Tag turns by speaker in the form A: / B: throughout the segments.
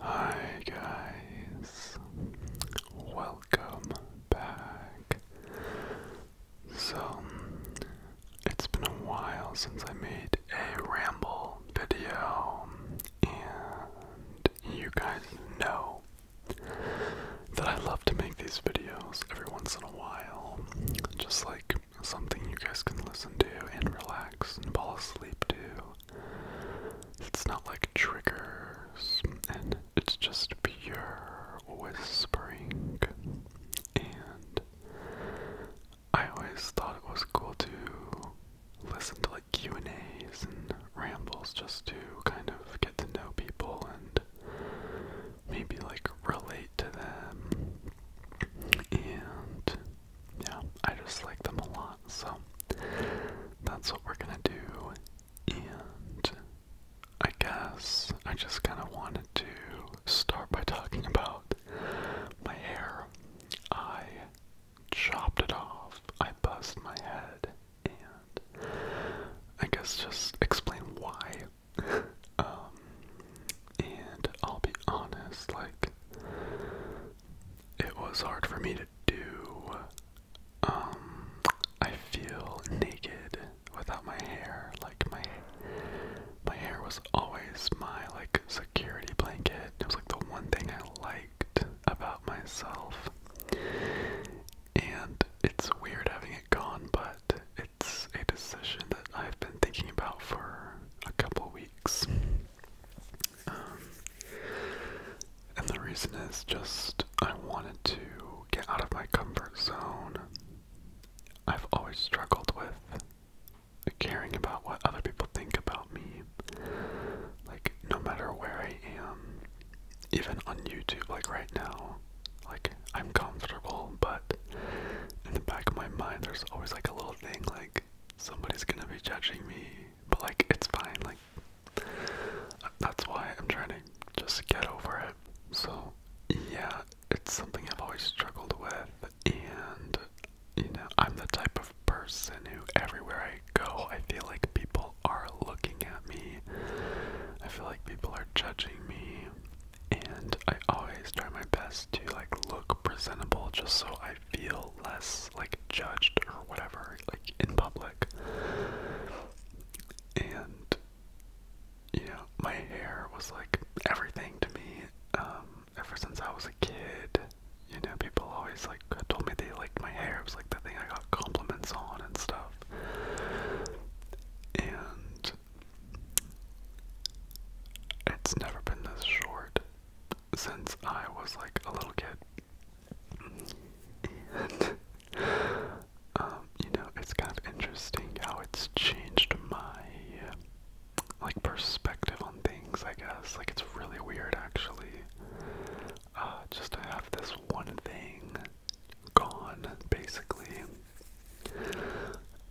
A: Hi guys, welcome back. So, it's been a while since I made a ramble video, and you guys know that I love to make these videos every once in a while, just like something you guys can listen to and relax and fall asleep to. It's not like triggers, and it's just pure whispering. And I always thought it was cool to listen to like Q and A's and rambles just to kind of get to know people and maybe like relate to them and yeah, I just like them a lot. So that's what we're gonna do. And I guess I just kind of wanted to start by talking about my hair. I chopped it off, I buzzed my head, and I guess just explain why um, and I'll be honest, like, it was hard for me to do. Um, I feel naked without my hair. Like my my hair was always my like security blanket. It was like the one thing I liked about myself. And it's weird having it gone, but it's a decision that I've been thinking about for a couple weeks. Um, and the reason is just I wanted to get out of my comfort zone. I've always struggled with caring about what other people think about me. Like, no matter where I am, even on YouTube, like right now, like, I'm comfortable, but in the back of my mind, there's always like a little thing like somebody's gonna be judging me, but like it's fine. Like that's why I'm trying to just get over it. So yeah, it's something I've always struggled with, and you know, I'm the type of person who everywhere I go, I feel like people are looking at me. I feel like people are judging me and I always try my best to like look presentable just so I feel less like judged or whatever, like in public. And you know, my hair was like everything to me. Um, ever since I was a kid, you know, people always like told me they liked my hair. It was like the thing I got compliments on and stuff. And it's never been this short since I was like a little kid. And, um, you know, it's kind of interesting how it's changed my like perspective on things, I guess. Like it's really weird actually. Uh, just to have this one thing gone, basically.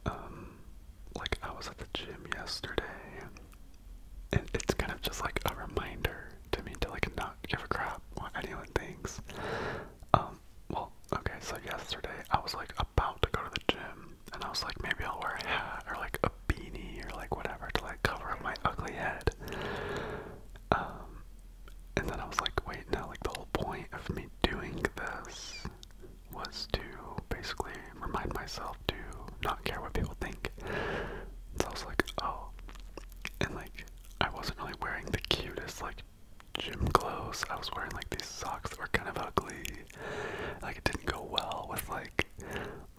A: Um, like I was at the gym yesterday, and it's kind of just like a reminder to me to like not give a crap what anyone thinks. Um, well, okay, so yesterday I was like about to go to the gym, and I was like, maybe I'll wear a hat or like a beanie or like whatever to like cover up my ugly head. Um, and then I was like, wait, no, like the whole point of me doing this was to basically remind myself to not care what people think. So I was like, oh. And like, I wasn't really wearing the cutest, like, gym clothes. I was wearing like these socks that were kind of ugly. Like, it didn't go well with like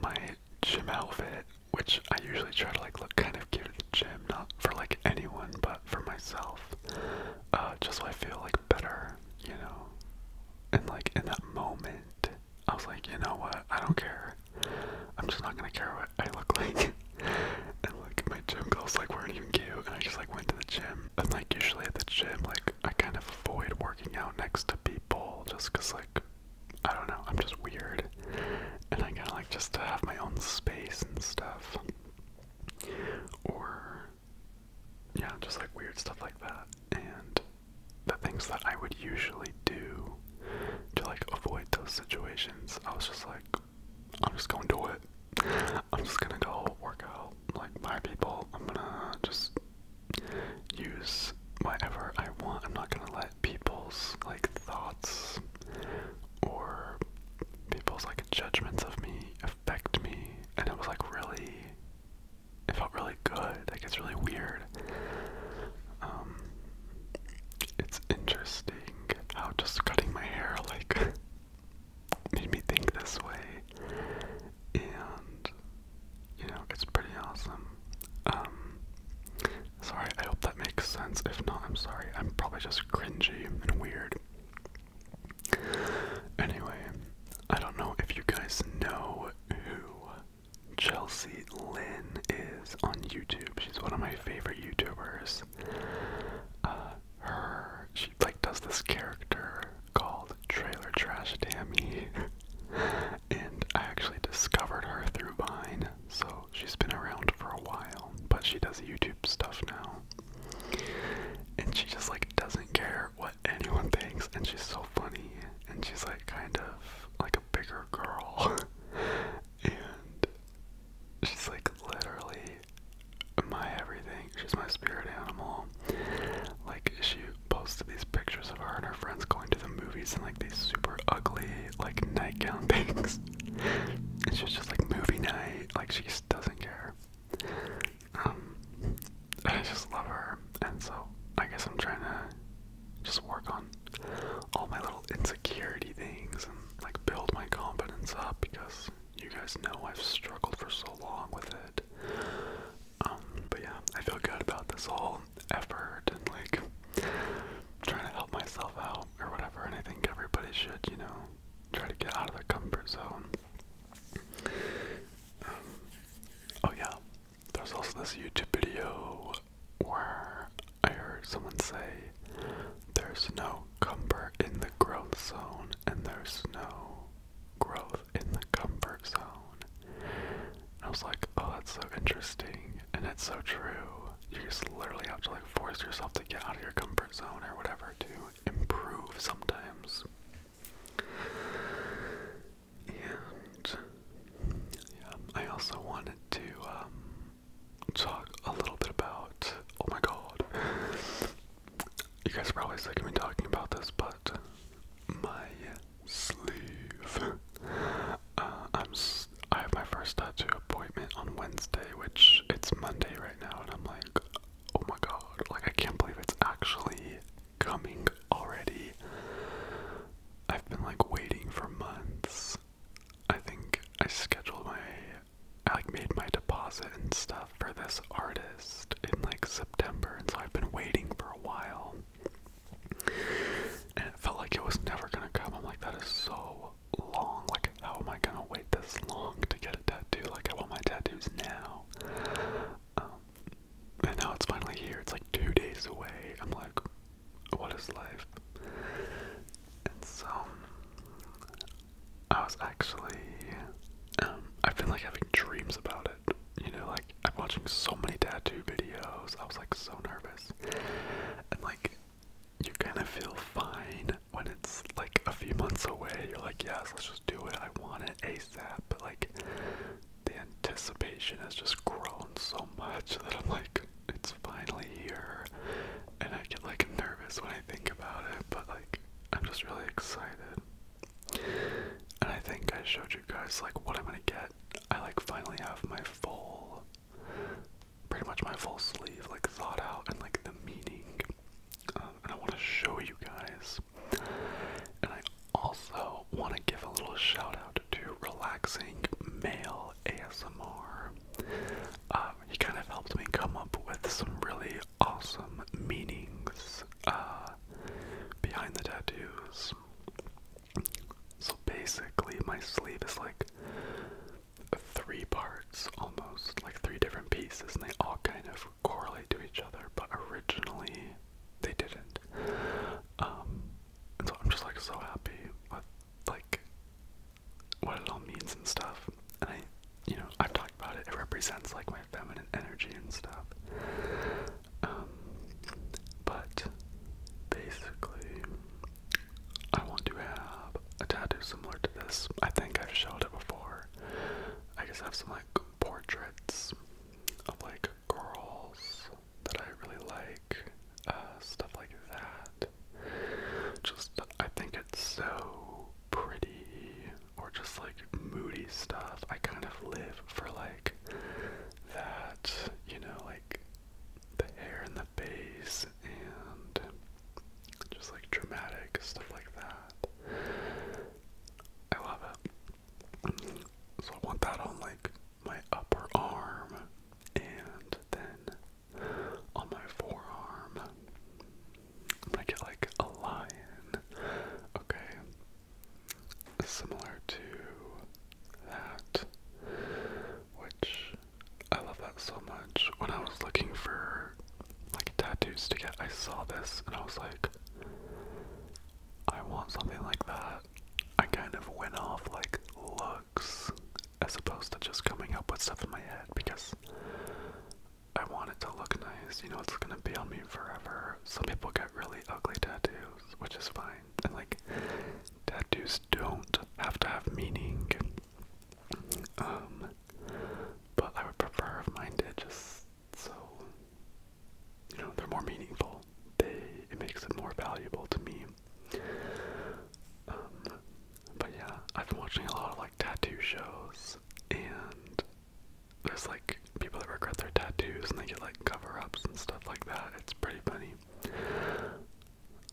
A: my gym outfit, which I usually try to like look kind of cute at the gym, not for like anyone, but for myself. Uh, just so I feel like better, you know? And like in that moment, I was like, you know what? I don't care. I'm just not gonna care what I look like. and like my gym clothes like weren't even cute, and I just like went to the gym. And like usually at the gym, like I kind of avoid working out next to people just cause like I don't know, I'm just weird. And I kinda like just to have my own space and stuff. Or yeah, just like weird stuff like that. And the things that I would usually do to like avoid those situations, I was just like, I'm just gonna do it. I'm just gonna go work out like my people. I'm gonna just use whatever I want. I'm not gonna let people's like thoughts or people's like judgments of me affect me. And it was like really, it felt really good. Like it's really weird. Um, it's interesting how just cutting my hair like made me think this way. And you know, it's pretty awesome. Um, sorry, I hope that makes sense. If not, I'm sorry. I'm probably just cringy and weird. Anyway, I don't know if you guys know who Chelsea Lynn is on YouTube. She's one of my favorite YouTubers. Uh, her she like does this character called Trailer Trash Tammy, and I actually discovered her through Vine. So she's been around for a while, but she does YouTube stuff now. And she just like doesn't care what anyone thinks and she's so funny and she's like kind of like a bigger girl. and she's like literally my everything. She's my spirit animal. Like she posted these pictures of her and her friends going to the movies in like these super ugly like nightgown things. and she's just like movie night. Like she just doesn't care. Um, I just love her, and so I guess I'm trying to just work on all my little insecurity things and like build my confidence up because you guys know I've struggled for so long with it. Um, but yeah, I feel good about this whole effort and like trying to help myself out or whatever, and I think everybody should, you know, try to get out of their comfort zone oh yeah, there's also this YouTube video where I heard someone say there's no cumber in the growth zone and there's no growth in the comfort zone. I was like, oh, that's so interesting, and it's so true. You just literally have to like force yourself to get out of your comfort zone or whatever to improve sometimes. And yeah, I also wanted to um, talk a little bit about. Oh my god. You guys are probably sick of me talking about this, but my sleeve. Uh, I have my first tattoo appointment on Wednesday, which it's Monday right now, and I'm like, oh my god, like I can't believe it's actually coming already. I've been like waiting for months. I think I scheduled my I like made my deposit and stuff for this artist in like September and so I've been waiting for a while. And it felt like it was never gonna come. I'm like that is so long. Like how am I gonna wait this long to get a tattoo. Like, I want my tattoos now. Um, and now it's finally here. It's like two days away. I'm like, what is life? And so, I was actually, um, I've been like having dreams about it. You know, like, I'm watching so many tattoo videos. I was like so nervous. And like, you kind of feel fine when it's like a few months away, you're like, yes, let's just do it. I want it ASAP. But like, the anticipation has just grown so much that I'm like, it's finally here. And I get like nervous when I think about it, but like, I'm just really excited. And I think I showed you guys like what I'm gonna get. I like finally have my full, pretty much my full sleeve like thought out and like the meaning um, and I want to show you guys. And I also want to give a little shout out to Relaxing Male ASMR. Um, he kind of helped me come up with some really awesome meanings uh, behind the tattoos. So basically, my sleeve is like three parts almost, like three different pieces, and they all kind of correlate to each other, but originally they didn't. Um, so I'm just like so happy with like what it all means and stuff. And I, you know, I've talked about it. It represents like my feminine energy and stuff. Um, but basically, I want to have a tattoo similar to this. I think I've showed it before. I just have some like portraits of like girls that I really like, uh, stuff like that. Just, I think it's so pretty, or just like moody stuff. I kind of live for like that, you know, like the hair and the face and just like dramatic stuff like that. I love it. So I want that on like my upper arm and then on my forearm. i get like a lion. Okay. Similar to that, which I love that so much. When I was looking for like tattoos to get, I saw this and I was like, I want something like that. I kind of went off like looks as opposed to just coming up with stuff in my head because I want it to look nice. You know, it's gonna be on me forever. Some people get really ugly tattoos, which is fine. And like, tattoos don't have to have meaning. Um, but I would prefer if mine did just so, you know, they're more meaningful. They, it makes it more valuable to me. Um, but yeah, I've been watching a lot of like tattoo shows, and there's like people that regret their tattoos and they get like cover ups and stuff like that. It's pretty funny.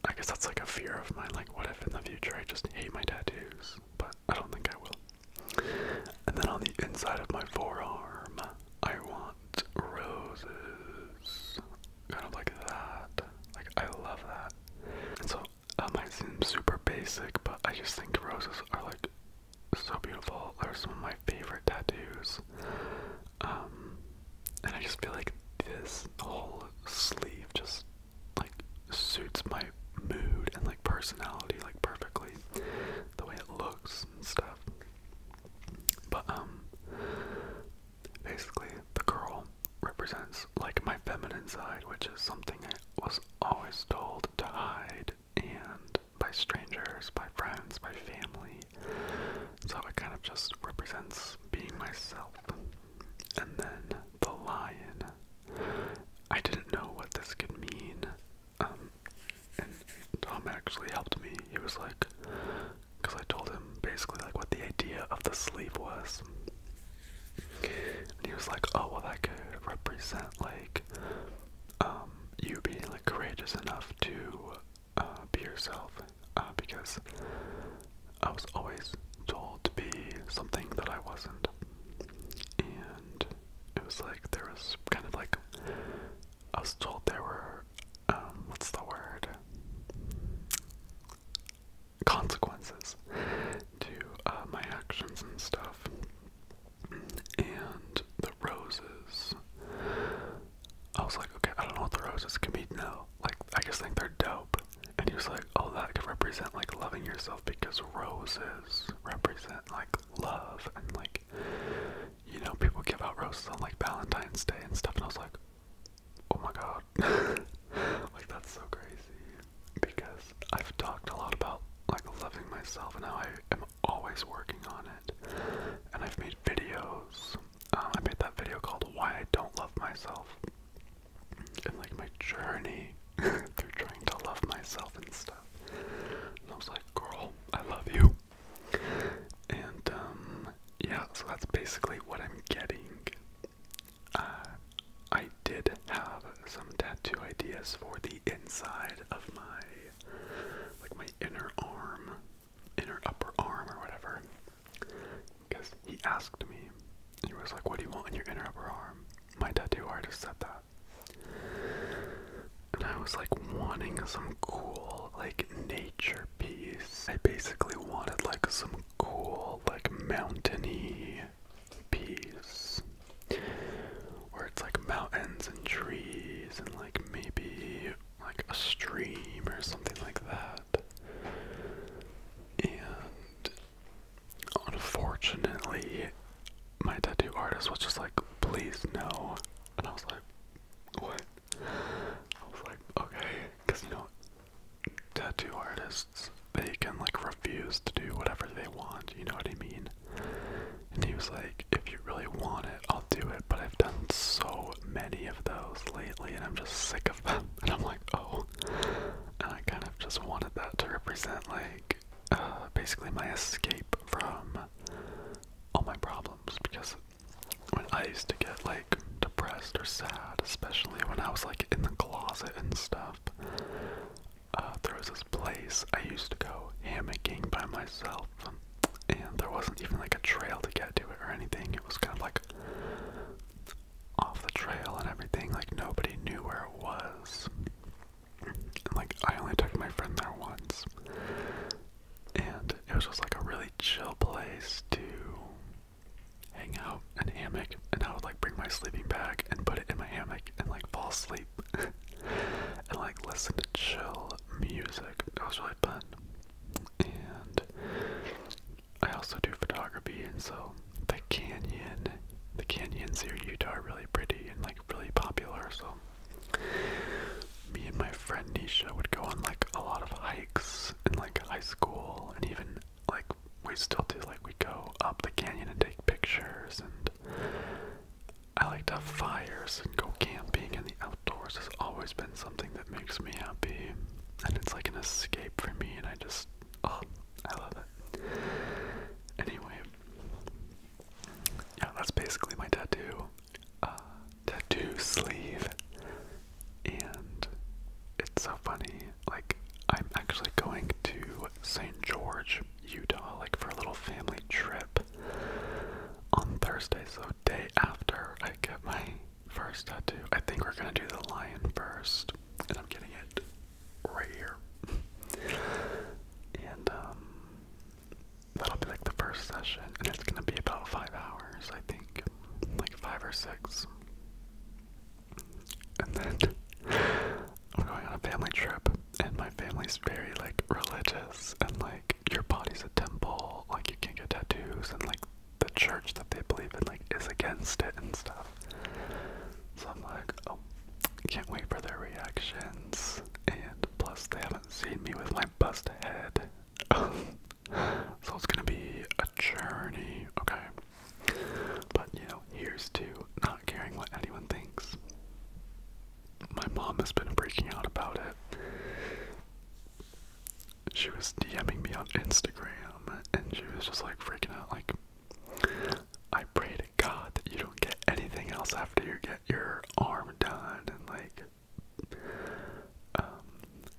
A: I guess that's like a fear of mine, like what if in the future I just hate my tattoos? But I don't think I will. And then on the inside of my forearm, I want roses. Kind of like that. Like I love that. so that might seem super basic, but I just think roses are like so beautiful. They're some of my favorite tattoos. Um, and I just feel like this whole sleeve just like suits my mood and like personality like perfectly the way it looks and stuff but um basically the girl represents like my feminine side which is something i was always told to hide and by strangers by friends by family so it kind of just represents being myself and then the lion. I didn't know what this could mean. Um, and Tom actually helped me. He was like, because I told him basically like what the idea of the sleeve was. And he was like, oh, well, that could represent like um, you being like courageous enough to uh, be yourself. Uh, because I was always told to be something that I wasn't. And it was like there was kind of like I was told there were um, what's the word? Consequences to uh, my actions and stuff. And the roses. I was like, okay, I don't know what the roses can mean now, like I just think they're dope. And he was like, oh, that could represent like loving yourself because roses represent like love and like you know people give out roses on like Valentine's Day and stuff. And I was like, oh my god, like that's so crazy because I've talked a lot about like loving myself and how I am always working on it. And I've made videos. Um, I made that video called "Why I Don't Love Myself." and like my journey through trying to love myself and stuff. I was like, girl, I love you. And um, yeah, so that's basically what I'm getting. Uh, I did have some tattoo ideas for the inside of my, like my inner arm, inner upper arm or whatever. Because he asked me, he was like, What do you want in your inner upper arm? My tattoo artist said that. And I was like wanting some cool, like, nature piece. I basically wanted, like, some cool, like, mountainy piece. Where it's like mountains and trees and, like, maybe like a stream or something like that. And unfortunately, my tattoo artist was just like, please no. And I was like, what? I was like, okay. Because, you know, tattoo artists, they can like refuse to do whatever they want, you know what I mean? And he was like, if you really want it, I'll do it. But I've done so many of those lately and I'm just sick of them. And I'm like, oh, I kind of just wanted that to represent like uh, basically my escape from all my problems because when I used to get like depressed or sad, especially when I was like in the closet and stuff, uh, there was this place I used to go hammocking by myself, and there wasn't even like a trail to get to it or anything. It was kind of like off the trail and everything. Like nobody knew where it was. And like I only took my friend there once. And it was just like a really chill place to hang out and hammock and I would like bring my sleeping bag and put it in my hammock and like fall asleep and like listen to chill music. It was really fun. And I also do photography, and so the canyon, the canyons here in Utah are really pretty and like really popular. So me and my friend Nisha would go on like a lot of hikes in like high school, and even like we still do. Like we go up the canyon and take pictures, and I like to have fires and go camping, and the outdoors has always been something that makes me happy and it's like an escape for me, and I just, oh, I love it. Anyway, yeah, that's basically my tattoo, uh, tattoo sleeve, and it's so funny. Like, I'm actually going to St. George, Utah, like for a little family trip on Thursday, so day after I get my First tattoo. I think we're gonna do the lion first, and I'm getting it right here. and um, that'll be like the first session, and it's gonna be about five hours, I think, like five or six. And then I'm going on a family trip, and my family's very like religious, and like your body's a temple, like you can get tattoos, and like the church that they believe in like is against it and stuff. So I'm like, oh, can't wait for their reactions. And plus, they haven't seen me with my bust head, so it's gonna be a journey. Okay, but you know, here's to not caring what anyone thinks. My mom has been breaking out about it she was DMing me on Instagram and she was just like freaking out like I pray to God that you don't get anything else after you get your arm done and like um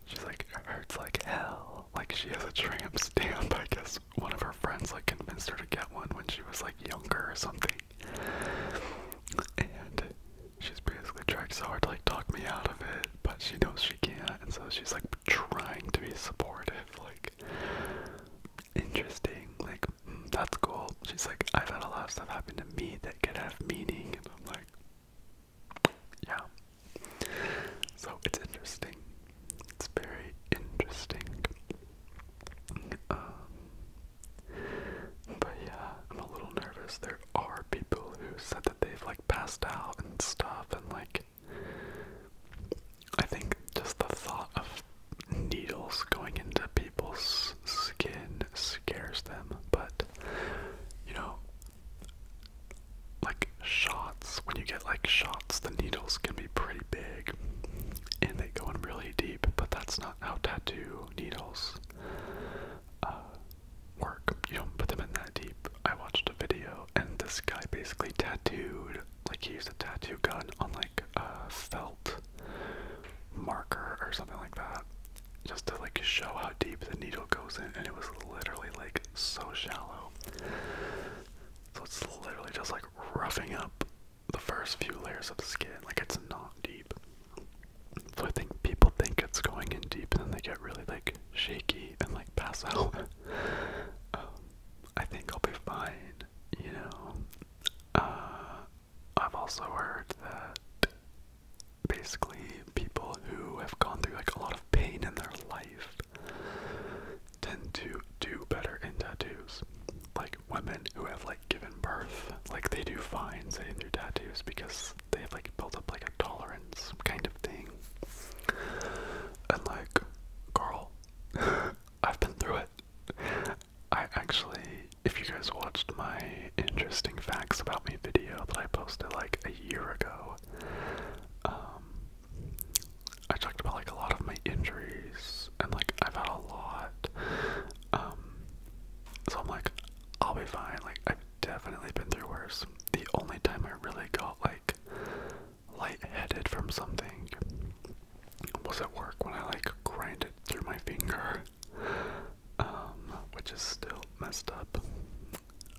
A: she's like it hurts like hell. Like she has a tramp stamp, I guess one of her friends like convinced her to get one when she was like younger or something. And she's basically tried so hard to like talk me out of it but she knows she can't, and so she's like trying to be supportive, like interesting, like mm, that's cool. She's like, I've had a lot of stuff happen to me that could have meaning, and I'm like, yeah. So it's interesting. It's very interesting. Um, but yeah, I'm a little nervous. There are people who said that they've like like passed out and stuff and like I think just the thought of needles going into people's skin scares them, but you know like shots when you get like shots the needles can be pretty big and they go in really deep, but that's not how tattoo needles uh, work. You don't put them in that deep. I watched a video and this guy basically tattooed, like he used a tattoo gun on like a felt marker or something like that, just to like show how deep the needle goes in. And it was literally like so shallow. So it's literally just like roughing up the first few layers of the skin. Like it's not deep. So I think people think it's going in deep and then they get really like shaky and like pass out. um, I think I'll be fine, you know. Uh, I've also heard that basically people who have gone through like a lot of pain in their life tend to do better in tattoos. Like women who have like given birth, like they do fine sitting their tattoos because they like built up like a tolerance kind of thing. And like, girl, I've been through it. I actually, if you guys watched my interesting facts about me video that I posted like a year ago, um, I talked about like a lot of my injuries and like I've had a lot. Um, so I'm like, I'll be fine. Like I've definitely been through worse the only time I really got like lightheaded from something was at work when I like grinded through my finger, um, which is still messed up.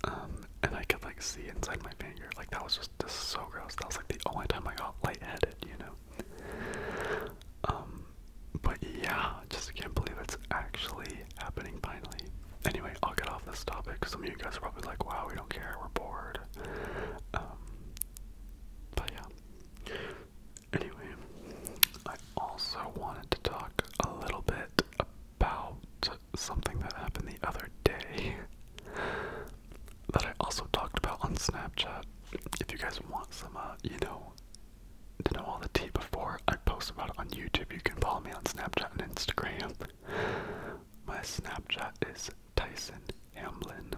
A: Um, and I could like see inside my finger. Like that was just, so gross. That was like the only time I got lightheaded, you know. Um, but yeah, just can't believe it's actually happening finally. Anyway, I'll get off this topic. Some of you guys are probably like, wow, we don't care, we're bored. Um, but yeah. Anyway, I also wanted to talk a little bit about something that happened the other day that I also talked about on Snapchat. If you guys want some, uh, you know, to know all the tea before. I post about it on YouTube. You can follow me on Snapchat and Instagram. My Snapchat is Tyson Hamblin.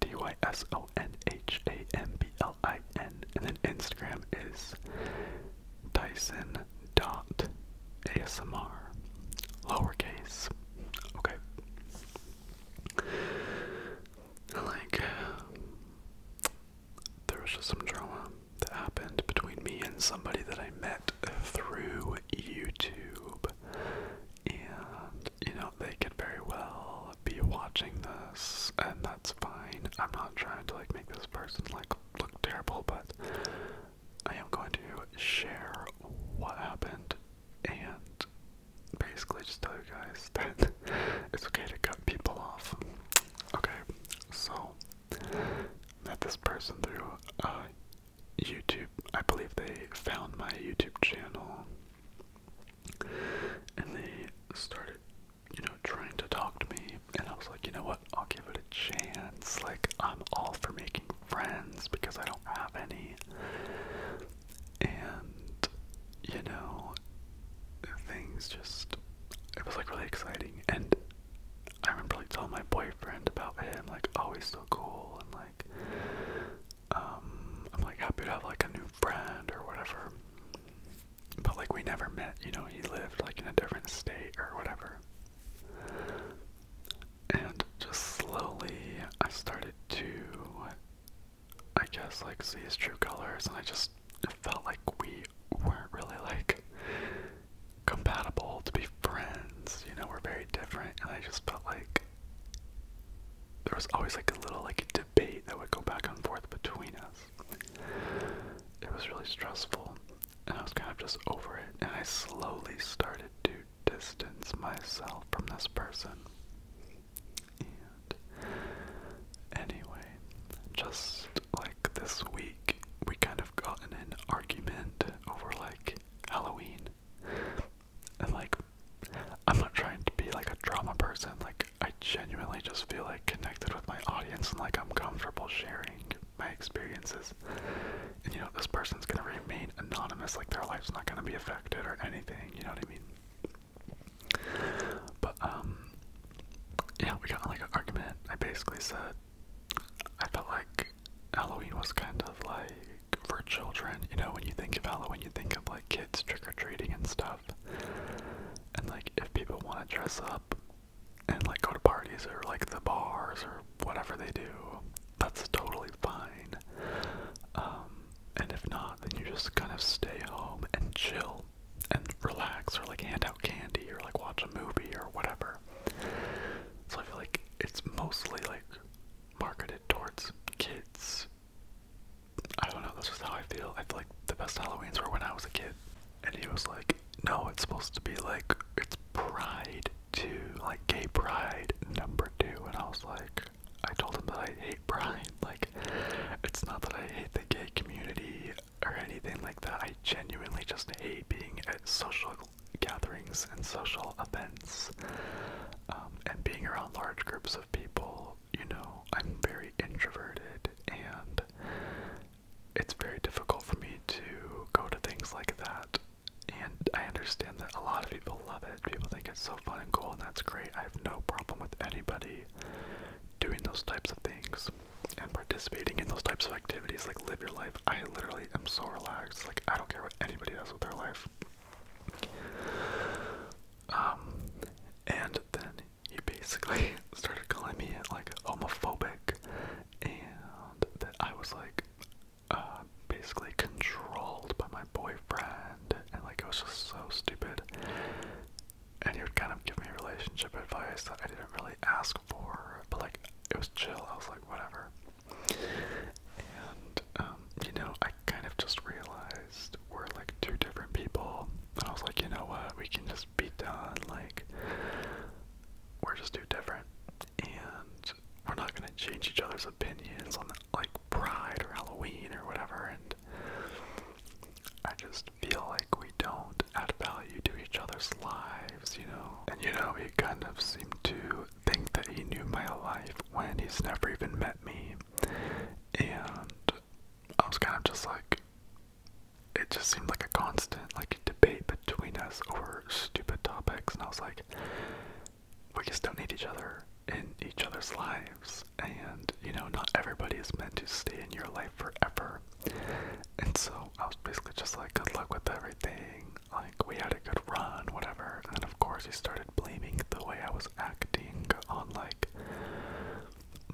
A: D Y S O N H A M B L I N. And then Instagram is Tyson dot ASMR. Lowercase. Okay. Like there was just some drama that happened between me and somebody that I met through YouTube. And, you know, they could very well be watching this, and that's fine. I'm not trying to, like, make this person, like, look terrible, but I am going to share what happened and basically just tell you guys that it's okay to cut people off. Okay, so that this person through uh, YouTube. I believe they found my YouTube channel and they started, you know, trying to talk to me. And I was like, you know what? I'll give it a chance. Like, I'm all for making friends because I don't have any. And, you know, things just. It was like really exciting. And I remember like telling my boyfriend about him, like, oh, he's so cool, and like, um, I'm like happy to have like a new friend or whatever. But like, we never met, you know, he lived like in a different state or whatever. And just slowly, I started to, I guess, like see his true colors, and I just it felt like we weren't really like compatible to be friends. You know, we're very different, and I just felt like there was always like a little like debate that would go back and forth between us. It was really stressful, and I was kind of just over it. And I slowly started to distance myself from this person. And anyway, just like this week, we kind of got in an argument over like Halloween. And like, I'm not trying to be like a drama person, like, I genuinely just feel like connected with my audience and like I'm comfortable sharing my experiences. And you know, this person's gonna remain anonymous, like, their life's not gonna be affected or anything, you know what I mean? But, um, yeah, we got in, like an argument. I basically said I felt like Halloween was kind of like for children. You know, when you think of Halloween, you think of like kids trick or treating and stuff. And like, if people want to dress up and like go to parties or like the bars or whatever they do, that's totally fine. Um, and if not, then you just kind of stay home and chill and relax or like hand out candy or like watch a movie or whatever. So I feel like it's mostly like marketed towards kids. I don't know, This is how I feel. I feel like the best Halloweens were when I was a kid. And he was like, No, it's supposed to be like it's pride to like gay pride number two and I was like I told him that I hate pride. Like it's not that I hate the gay community or anything like that. I genuinely just hate being at social gatherings and social events um, and being around large groups of people. You know, I'm very introverted and it's very difficult for me to go to things like that. And I understand that a lot of people love it. People think it's so fun and cool, and that's great. I have no problem with anybody doing those types of things and participating in those types of activities, like live your life. I literally am so relaxed. Like I don't care what anybody does with their life. Um, and then he basically started calling me like homophobic, and that I was like, uh, basically controlled by my boyfriend, and like it was just so stupid and he would kind of give me relationship advice that I didn't really ask for, but like it was chill. I was like, whatever. And um, you know, I kind of just realized we're like two different people, and I was like, you know what, we can just be done. Like we're just too different, and we're not gonna change each other's opinions on like Pride or Halloween or whatever. And I just feel like we don't add value to each other's lives, you know? And you know, he kind of seemed to think that he knew my life when he's never even met me. And I was kind of just like, it just seemed like a constant, like, debate between us over stupid topics. And I was like, we just don't need each other in each other's lives. And, you know, not everybody is meant to stay in your life forever. And so I was basically just like, good luck with everything. Like, we had a good run, whatever. And then, of course, he started blaming the way I was acting on, like,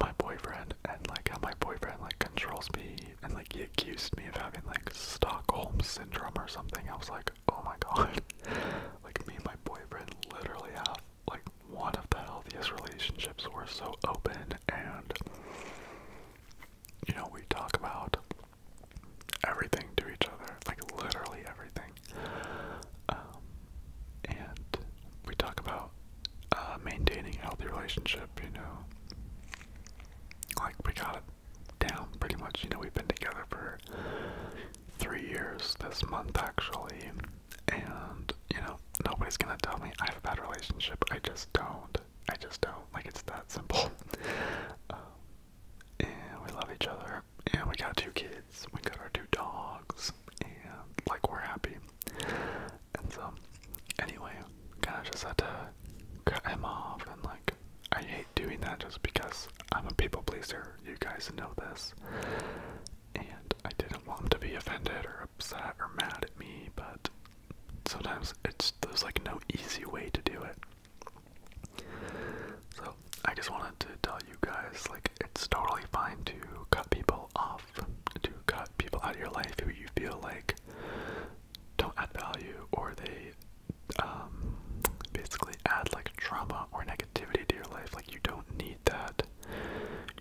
A: my boyfriend and, like, how my boyfriend, like, controls me. And, like, he accused me of having, like, Stockholm syndrome or something. I was like, oh my god. like, me and my boyfriend literally have like one of the healthiest relationships. We're so open and you know, we talk about everything to each other, like literally everything. Um, and we talk about uh, maintaining a healthy relationship, you know. Like, we got it down pretty much. You know, we've been together for three years this month, actually and you know nobody's gonna tell me I have a bad relationship. I just don't. I just don't. Like it's that simple. Um, and we love each other. And we got two kids. We got our two dogs. And like we're happy. And so anyway, kind of just had to cut him off. And like I hate doing that just because I'm a people pleaser. You guys know this. And I didn't want them to be offended or upset or mad at me, but sometimes it's there's like no easy way to do it. So I just wanted to tell you guys like it's totally fine to cut people off, to cut people out of your life who you feel like don't add value or they um, basically add like trauma or negativity to your life. Like you don't need that.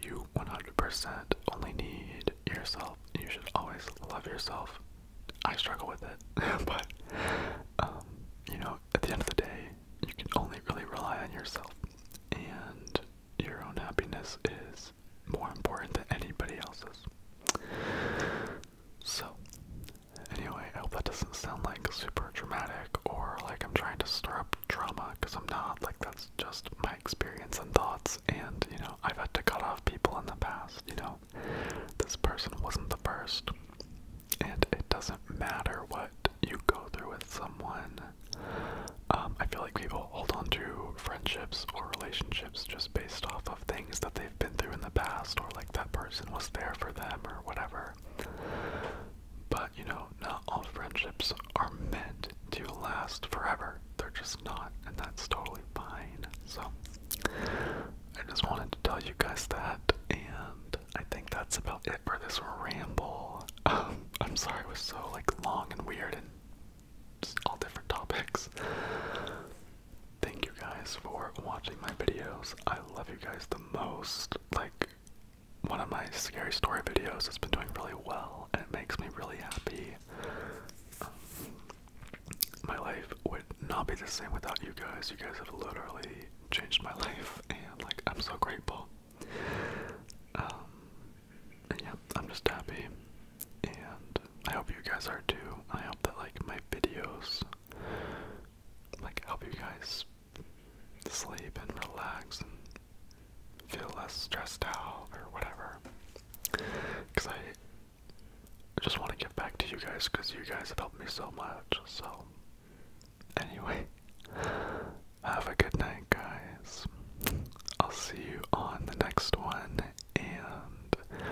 A: You 100% only need yourself. You should always love yourself. I struggle with it, but um, you know, at the end of the day, you can only really rely on yourself, and your own happiness is more important than anybody else's. So, anyway, I hope that doesn't sound like super dramatic or like I'm trying to stir up drama because I'm not like that that's just my experience and thoughts. And, you know, I've had to cut off people in the past, you know. This person wasn't the first. And it doesn't matter what you go through with someone. Um, I feel like people hold on to friendships or relationships just based off of things that they've been through in the past or like that person was there for them or whatever. But you know, not all friendships are meant to last forever. They're just not, and that's totally fine. So, I just wanted to tell you guys that, and I think that's about it for this ramble. Um, I'm sorry it was so, like, long and weird and just all different topics. Thank you guys for watching my videos. I love you guys the most. Like, one of my scary story videos has been doing really well, and it makes me really happy. Um, my life would not be the same without you guys. You guys have literally changed my life, and like I'm so grateful. Um, yeah, I'm just happy, and I hope you guys are too. I hope that like my videos like help you guys sleep and relax and feel less stressed out or whatever. Because I just want to give back to you guys because you guys have helped me so much. So, anyway, have a good night, guys. I'll see you on the next one, and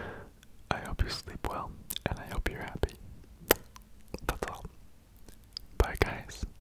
A: I hope you sleep well, and I hope you're happy. That's all. Bye, guys.